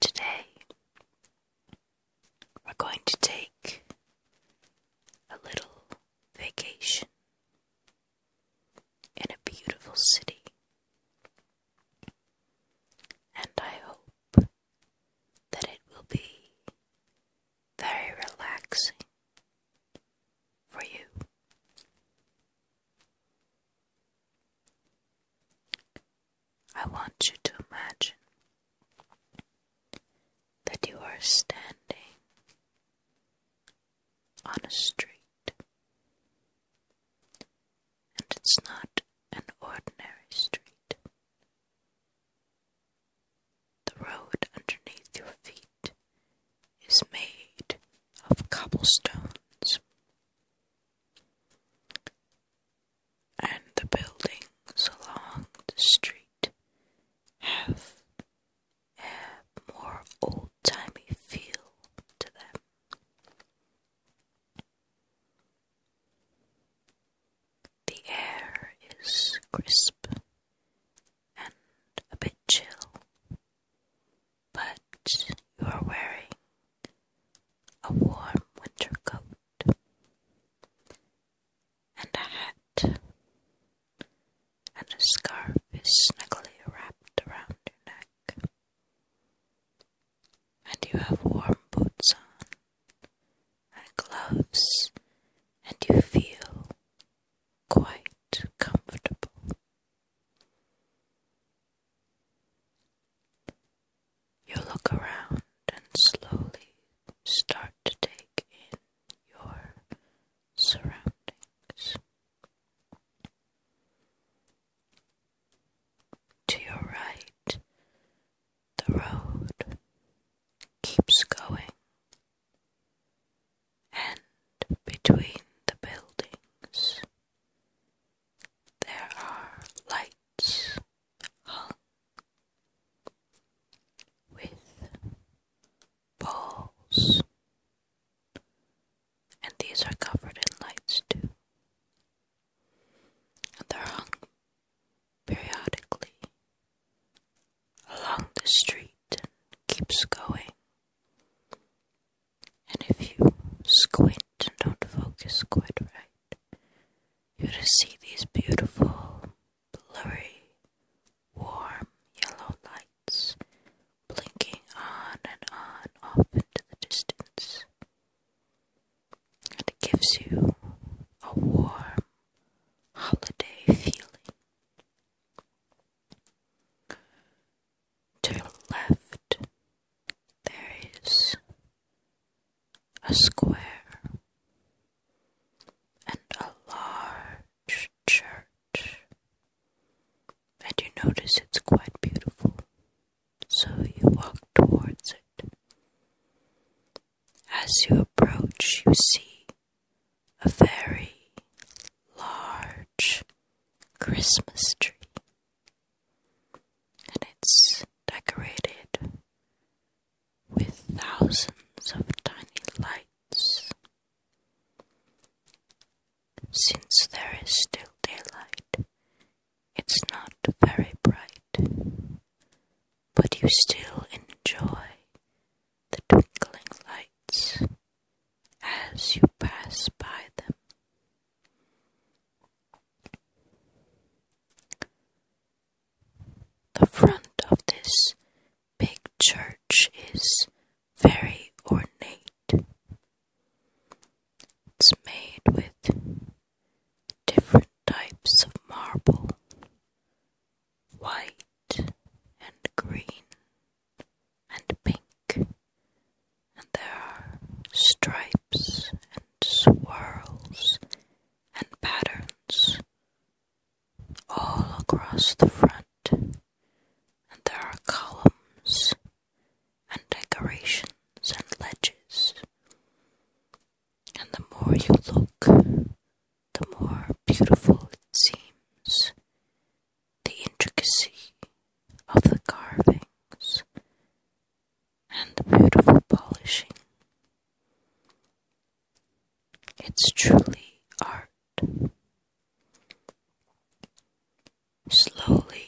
Today, we're going to take a little vacation in a beautiful city, and I hope that it will be very relaxing for you. I want you to imagine that you are standing on a street, and it's not an ordinary street. The road underneath your feet is made of cobblestones and the buildings along the street have a more old timey feel to them. The air is crisp and a bit chill, but you are wearing a warm winter coat and a hat, and a scarf is snugly wrapped around your neck, and you have warm boots on and gloves, and you feel quite comfortable. You look around and slowly start to take in your surroundings. To your right, the road keeps going, and between the buildings there are lights hung with balls, and these are covered in lights too, and they're hung periodically along the street keeps going and if you squint and don't focus quite right, you will see these beautiful, blurry, warm yellow lights blinking on and on off into the distance. And it gives you a warm holiday feeling to your left, there is a square and a large church, and you notice it's quite beautiful, so you walk towards it. As you approach, you see a fairy large Christmas tree, and it's decorated with thousands of tiny lights. Since there is still daylight, it's not very bright, but you still enjoy the twinkling lights as you pass by them. The front of this big church is very ornate. It's made with different types of marble, white and green and pink, and there are stripes and swirls and patterns all across the front, and there are columns and decorations and ledges. And the more you look, the more beautiful it seems, the intricacy of the carvings and the beautiful polishing. It's truly art. Slowly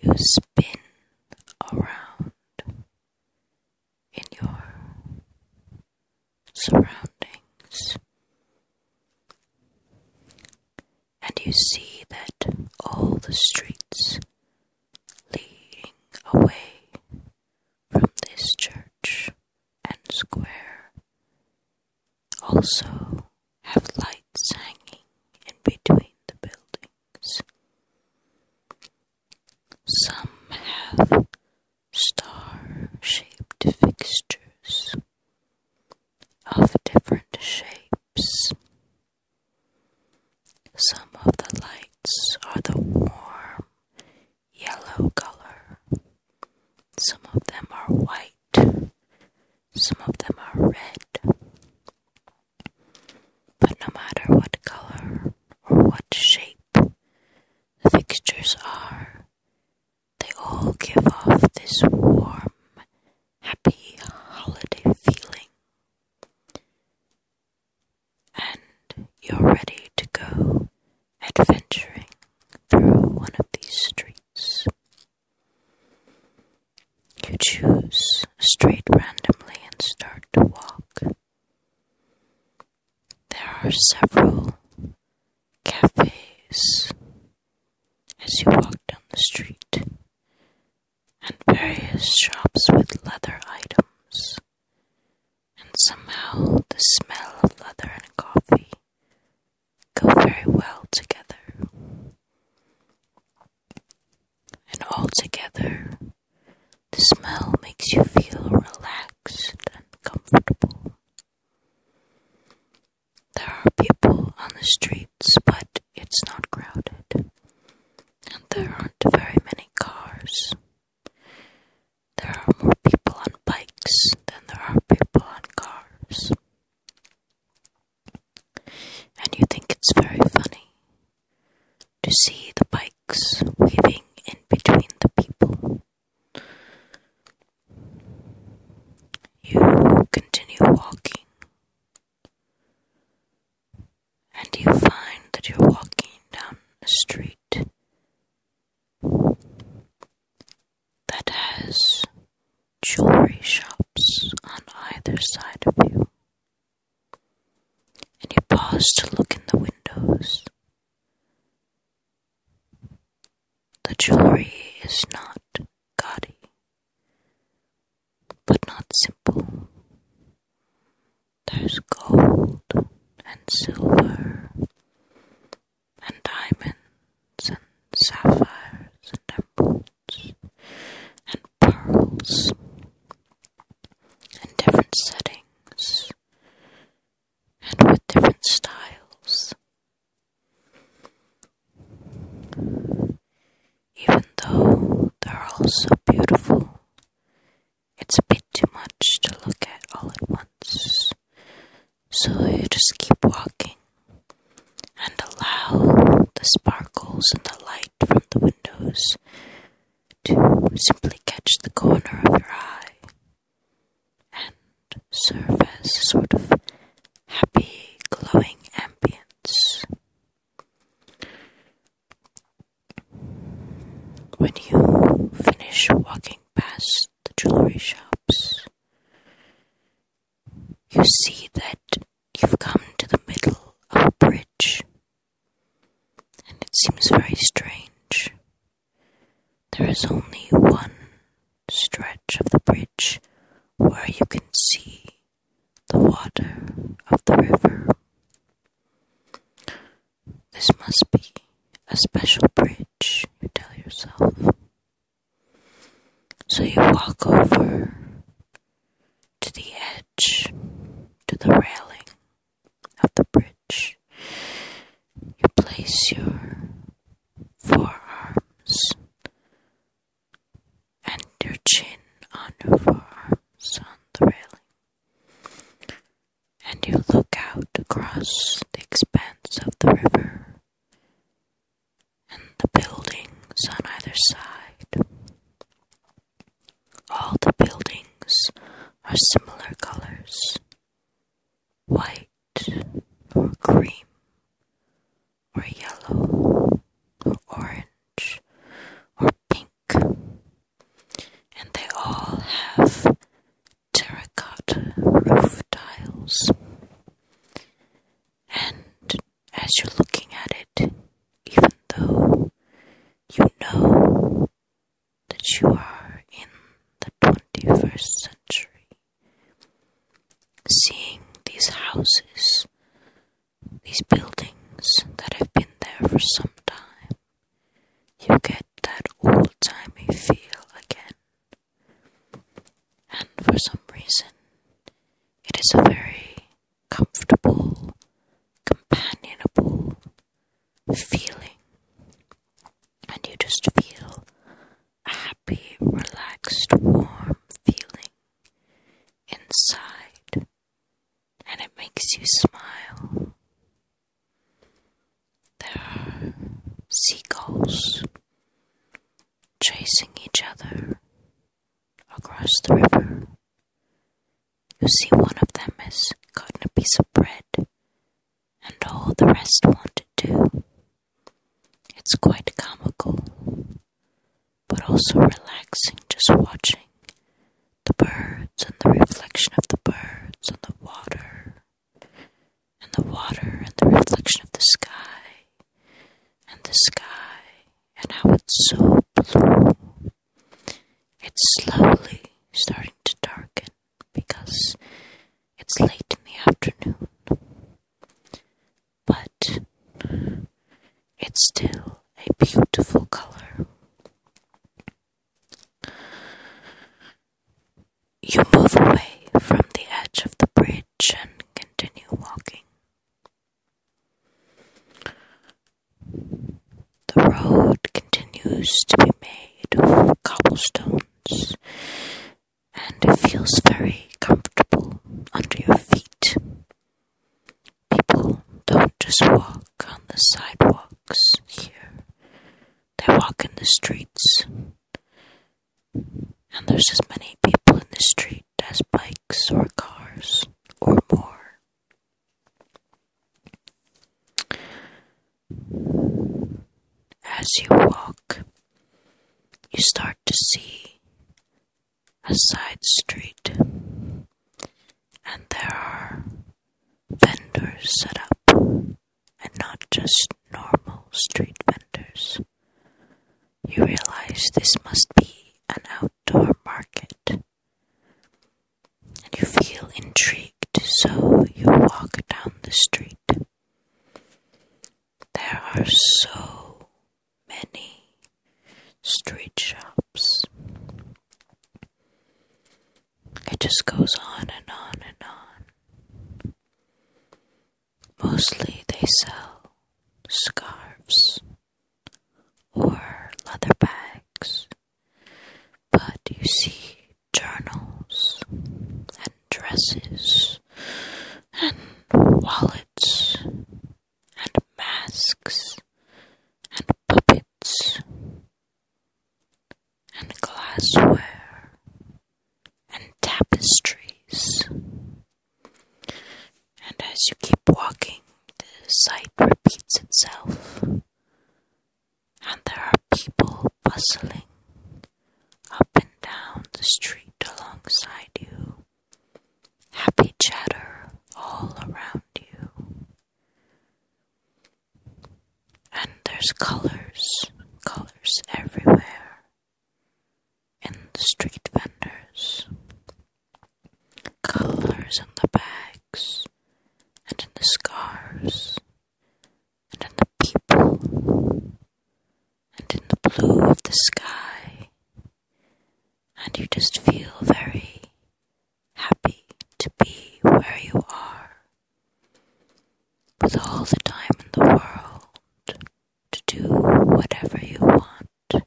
you spin around in your surroundings and you see that all the streets leading away from this church and square also have lights hanging in between the buildings. Some have star shaped fixtures, of different shapes. Some of the lights are the warm yellow color. Some of them are white. Some of them are red. But no matter what color or what shape the fixtures are, they all give off this warm, happy holiday feeling. And you're ready to go adventuring through one of these streets. You choose a street randomly and start to walk. There are several cafes as you walk down the street, and various shops with leather items, and somehow the smell of leather and coffee go very well together. And altogether, the smell makes you feel relaxed and comfortable. There are people on the streets, but it's not crowded. And there aren't very many cars. There are more people on bikes than there are people on cars. And you think it's very funny to see the bikes weaving in between the people. You continue walking, and you find that you're walking down a street that has jewelry shops on either side of you, and you pause to look in the windows. The jewelry is not gaudy, but not simple. There's gold and silver and diamonds and sapphires and emeralds and pearls and different settings and with different styles. Even though they're all so beautiful, it's a bit too much to look at all at once. So you just keep walking and allow the sparkles and the light from the windows to simply catch the corner of your eye and serve as a sort of happy, glowing ambience. When you finish walking past the jewelry shops, you see that you've come to the middle of a bridge, and it seems very strange there is only one stretch of the bridge where you can see the water of the river. This must be a special bridge, you tell yourself. So you walk over to the edge, to the railing of the bridge you place your forearms and your chin on your forearms on the railing, and you look out across the expanse of the river and the buildings on either side. All the buildings are similar colors white or cream or yellow or orange or pink, and they all have terracotta roof tiles. And as you're looking at it, even though you know that you are in the 21st century. Seeing these houses, these buildings that have been there for some time, you get that old timey feel again. And for some reason, it is a very comfortable, companionable, feeling, and you just feel a happy, relaxed, warm feeling inside, and it makes you smile. There are seagulls chasing each other across the river. You see, one of them has gotten a piece of bread and all the rest wanted to. It's quite comical, but also relaxing just watching the birds and the reflection of the birds on the water, and the water and the reflection of the sky, and the sky, and how it's so blue. It's slowly starting to darken because it's late in the afternoon. But it's still a beautiful color. You move away from the edge of the bridge and continue walking. The road continues to be made of cobblestone and it feels very comfortable under your feet. People don't just walk on the sidewalks here, they walk in the streets. And there's as many people in the street as bikes or cars or more. As you walk, you start to see a side street, and there are vendors set up, and not just normal street vendors. You realize this must be an outdoor market, and you feel intrigued so you walk down the street. There are so many street shops. It just goes on and on and on. Mostly they sell scarves or leather bags, but you see journals and dresses and wallets and masks and puppets and glassware and tapestries. And as you keep walking, the sight repeats itself and there are people bustling up and down the street alongside you, happy chatter all around you. And there's colors, colors everywhere in the street vendors, colors in the bags and in the scarves and in the people, and in the blue of the sky, and you just feel very happy to be where you are, with all the time in the world to do whatever you want,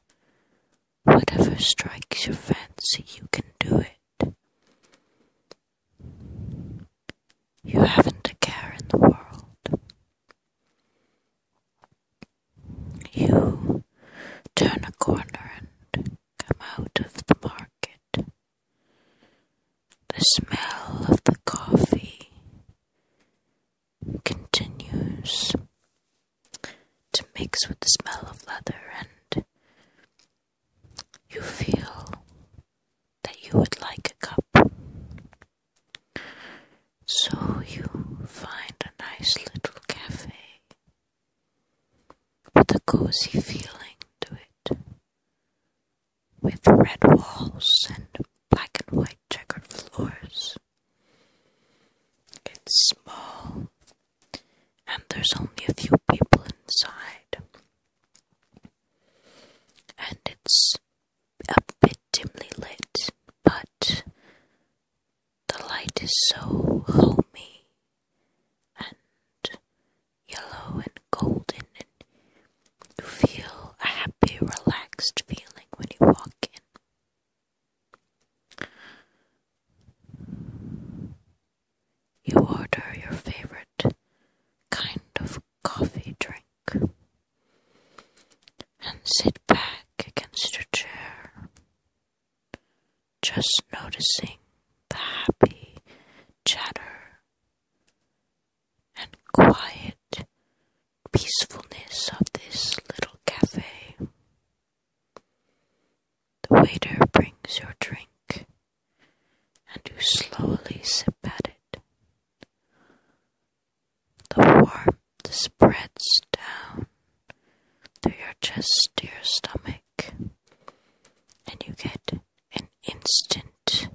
whatever strikes your fancy, you can do it. You haven't a care in the world. You turn a corner and come out of the market. The smell of the coffee continues to mix with the smell of leather and you feel that you would like a cup. So you find a nice little cafe with a cozy feeling to it, with red walls and black and white checkered floors. It's small, and there's only a few people inside and it's a bit dimly lit, but the light is so homey and yellow and golden, and you feel a happy, relaxed feeling when you walk in. You order your favorite kind of coffee drink and sit back against your chair, just noticing the happy chatter and quiet peacefulness of this little cafe. The waiter brings your drink and you slowly sip at it. The warmth spreads down through your chest to your stomach, and you get an instant,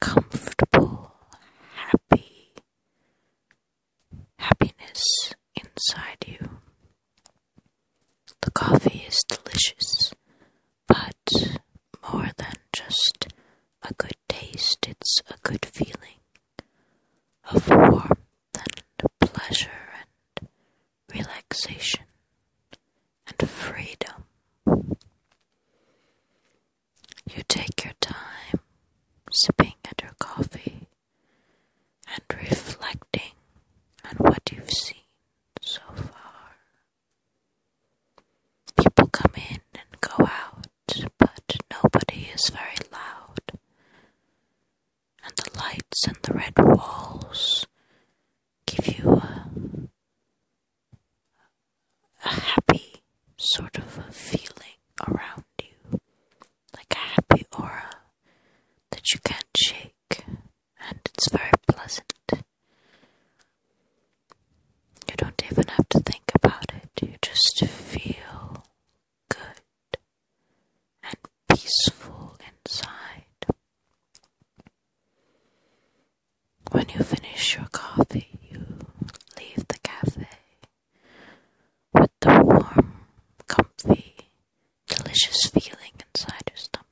comfortable, happy happiness inside you. The coffee is delicious, but more than just a good taste, it's a good feeling of warmth and pleasure and relaxation and freedom. You take your time sipping at your coffee and reflecting on what you've seen so far. People come in and go out, but nobody is very loud. And the lights and the red walls give you a, happy sort of a feeling around you, like a happy aura that you can't shake and it's very pleasant. You don't even have to think about it, you just feel good and peaceful inside. When you finish your coffee, you leave the cafe with the warm, comfy, delicious feeling inside your stomach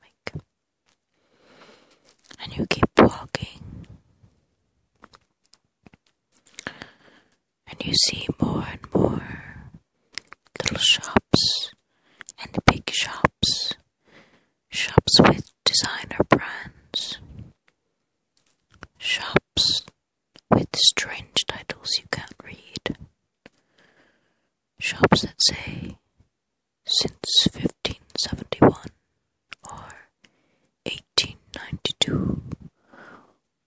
and you keep walking, and you see more and more little shops and big shops, shops with designer brands, shops with strange titles you can't read shops that say since 1571 or 1892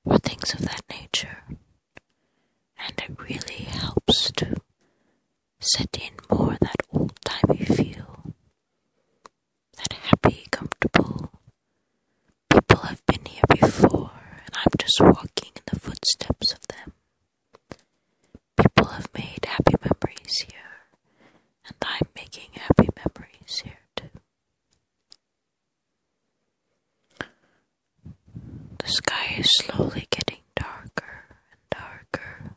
or things of that nature, and it really helps to set in more that old timey feel, that happy, comfortable. People have been here before, and I'm just walking in the footsteps of them. People have made happy memories here, and I'm making happy memories here too. The sky is slowly getting darker and darker,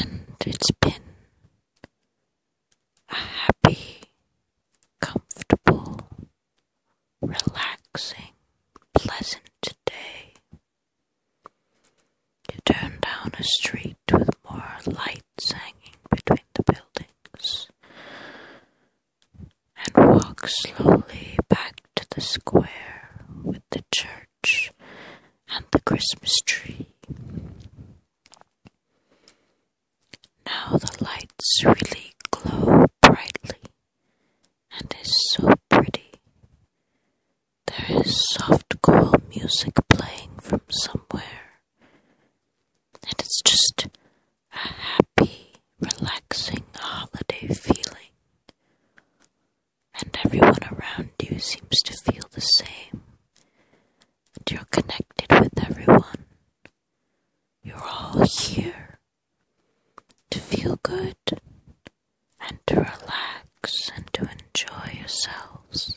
and it's been a happy, comfortable relaxing, pleasant day. You turn down a street with more lights hanging between the buildings and walk slowly back to the square with the church and the Christmas tree. Now the lights really glow brightly and it's so pretty. There is soft choral music playing from somewhere, and it's just a happy, relaxing holiday feeling. And everyone around you seems to feel the same, and you're connected with everyone. You're all here to feel good and to relax and to enjoy yourselves.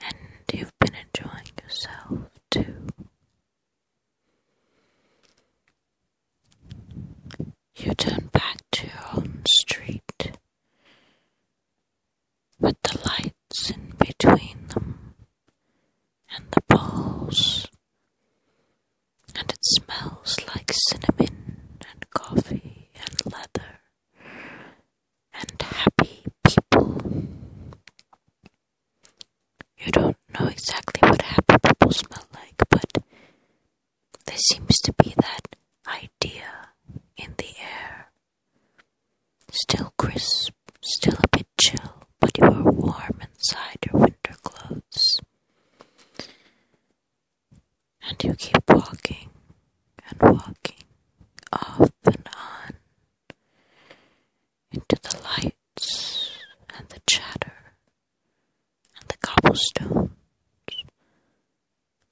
And you've been enjoying yourself too. You turn back to your own street with the lights in between them and the balls, and it smells like cinnamon and coffee and leather and happy people. You don't know exactly what happy people smell like, but there seems to be that idea in the air. Still crisp, still a bit chill but you are warm inside your winter clothes. And you keep walking and walking off and on into the lights and the chatter and the cobblestones.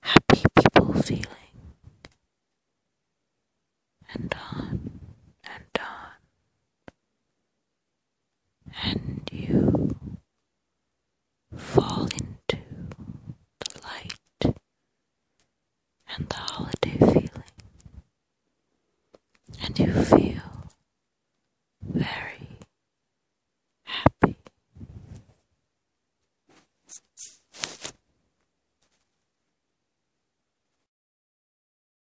Happy people feeling. And on and on and you fall into the light and the holiday feeling, and you feel very happy.